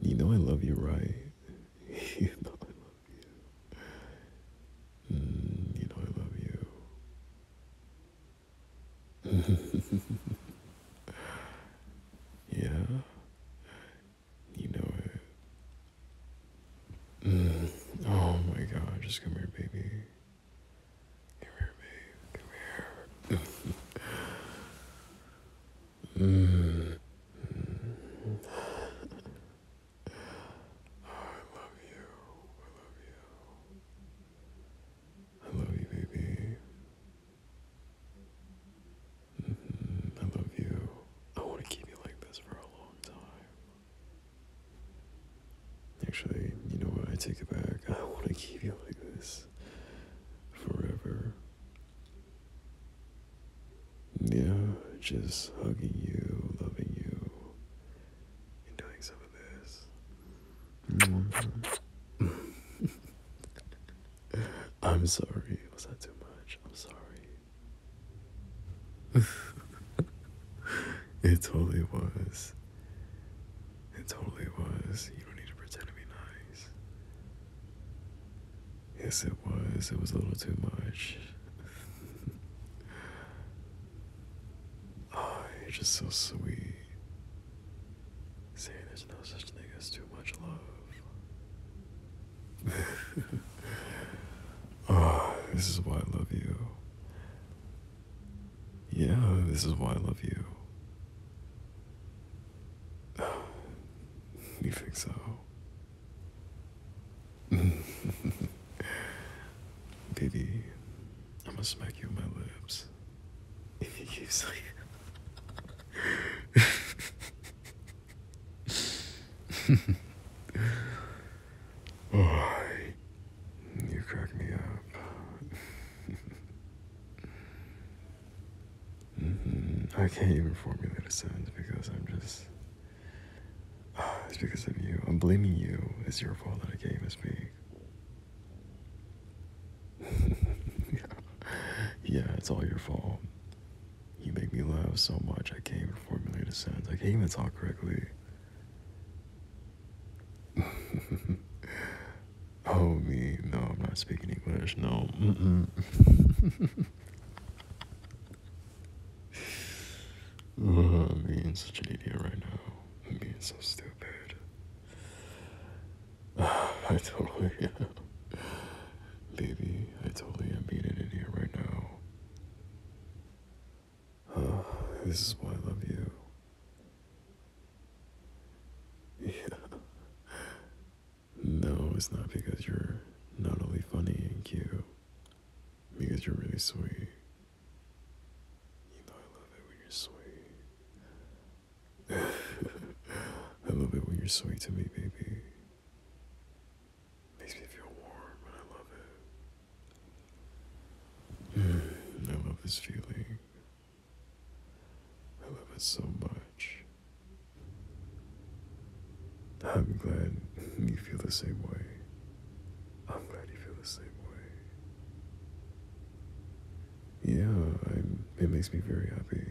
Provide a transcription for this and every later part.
You know I love you, right? You know I love you. Mm, you know I love you. yeah. You know it. Mm, oh my god, just come here, baby. Come here, babe. Come here. I love you. I love you. I love you, baby. I love you. I want to keep you like this for a long time. Actually, you know what? I take it back. I want to keep you like this forever. Yeah, just hugging you, loving you, and doing some of this. I'm sorry. Was that too much? I'm sorry. it totally was. It totally was. You don't need to pretend to be nice. Yes, it was. It was a little too much. oh, you're just so sweet. Saying there's no such thing as too much love. oh, this is why I love you. Yeah, this is why I love you. you think so? Baby, I'm gonna smack you on my lips. If you crack me up. I can't even formulate a sentence because I'm just. it's because of you. I'm blaming you. It's your fault that I can't speak. yeah. yeah, it's all your fault. You make me laugh so much I can't even formulate a sentence. I can't even talk correctly. oh me, no, I'm not speaking English. No. Mm -mm. oh, I'm being such an idiot right now. I'm being so stupid. I totally am. Baby, I totally am being an idiot right now. Oh, this is why I love you. Yeah. No, it's not because you're not only funny and cute, because you're really sweet. You know, I love it when you're sweet. I love it when you're sweet to me, baby. Makes me feel warm, and I love it. I love this feeling. I love it so much. I'm glad you feel the same way. I'm glad you feel the same way. Yeah, I'm, it makes me very happy.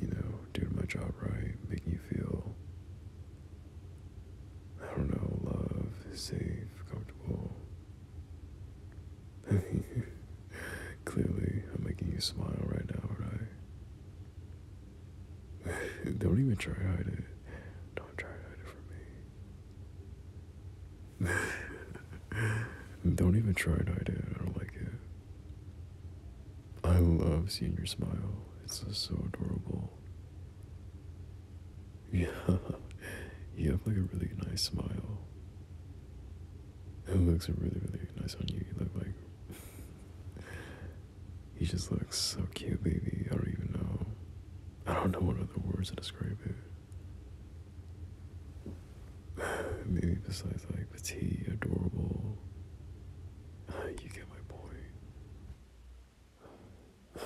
You know, doing my job right, making you feel I don't know, love safe, comfortable. Clearly, I'm making you smile right now, right? don't even try to hide it. Don't try to hide it from me. don't even try to hide it. I don't like it. I love seeing your smile. It's so adorable. Yeah, you have like a really nice smile. It looks really, really nice on you. You look like. you just look so cute, baby. I don't even know. I don't know what other words to describe it. Maybe besides like petite, adorable. You get my point.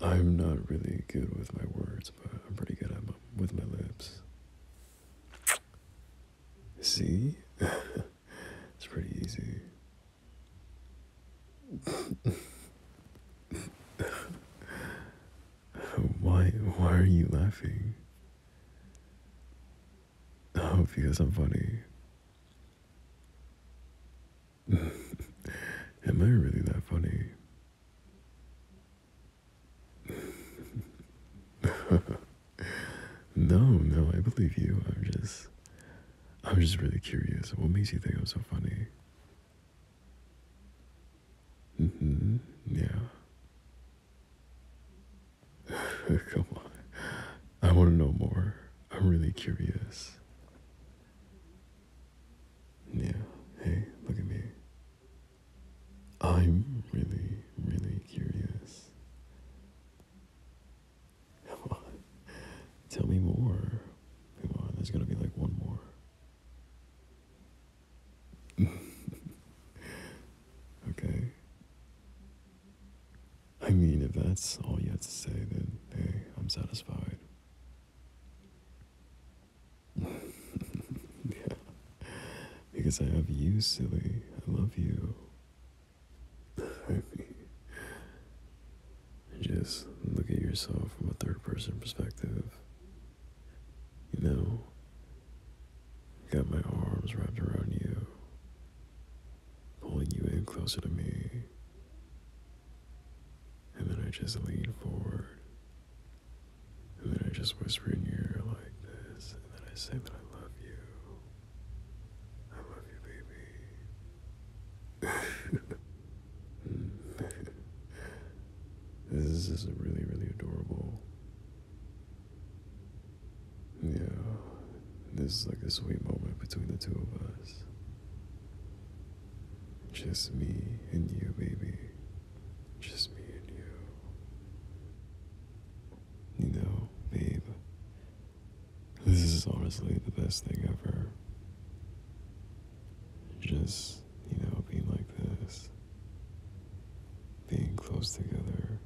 I'm not really good with my words, but I'm pretty good with my lips. See? it's pretty easy. why why are you laughing? I hope you guys are funny. Am I really that funny? no, no, I believe you. I'm just I'm just really curious. What makes you think I'm so funny? Mhm. Yeah. Come on. I want to know more. I'm really curious. Yeah. Hey, look at me. I'm really, really curious. Come on. Tell me more. Come on. There's going to be like one more. okay. I mean, if that's all you have to say, then hey, I'm satisfied. yeah. Because I have you, silly. I love you. just look at yourself from a third person perspective. You know? Got my arms wrapped around you pulling you in closer to me. And then I just lean forward. And then I just whisper in your ear like this. And then I say that I love you. I love you, baby. this is really, really adorable. Yeah, this is like a sweet moment between the two of us. Just me and you, baby. Just me and you. You know, babe, this is honestly the best thing ever. Just, you know, being like this being close together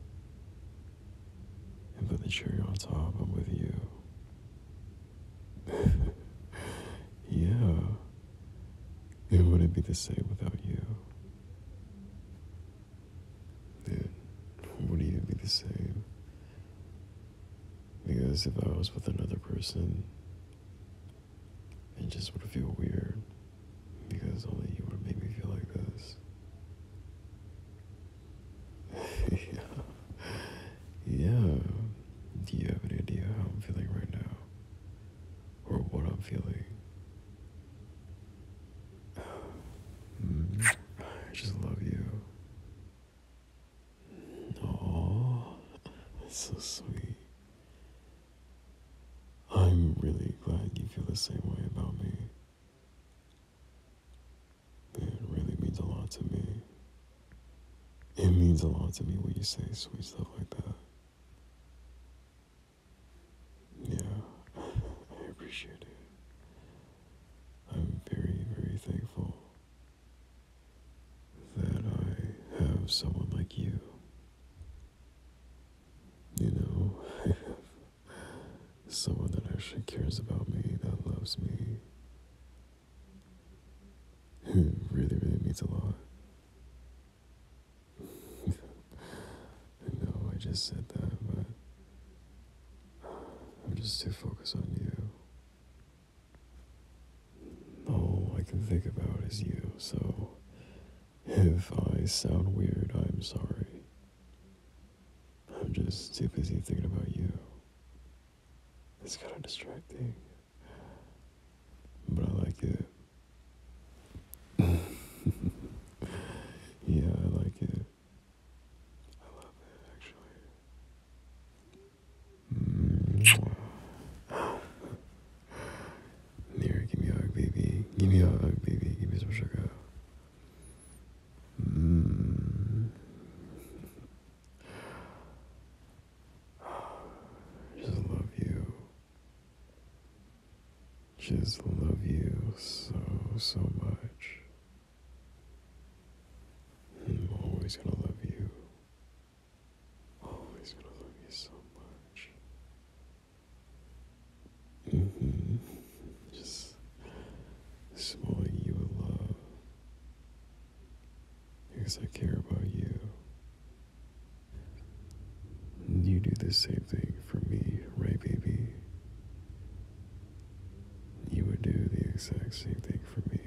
and put the cherry on top i'm with you yeah it wouldn't be the same without you it wouldn't even be the same because if i was with another person it just would feel weird because only you would make me feel like this. yeah. Yeah. Do you have an idea how I'm feeling right now? Or what I'm feeling? I just love you. Oh, that's so sweet. I'm really glad you feel the same way about me. It really means a lot to me. It means a lot to me when you say sweet stuff like that. Yeah, I appreciate it. I'm very, very thankful that I have someone like you you know, someone that actually cares about me, that loves me, who really, really means a lot. I know I just said that, but I'm just too focused on you. All I can think about is you, so if I sound weird, I'm sorry. I'm just too busy thinking about you. It's kind of distracting. But I like it. yeah, I like it. I love it, actually. Mm. There, give me a hug, baby. Give me a hug, baby. Give me some sugar. Mm. Just love you. Just love you so, so much. I'm always gonna love you. Always oh, gonna love you so much. Mm-hmm. Just smelling you with love. Because I care about you. You do the same thing for me, right, baby? You would do the exact same thing for me.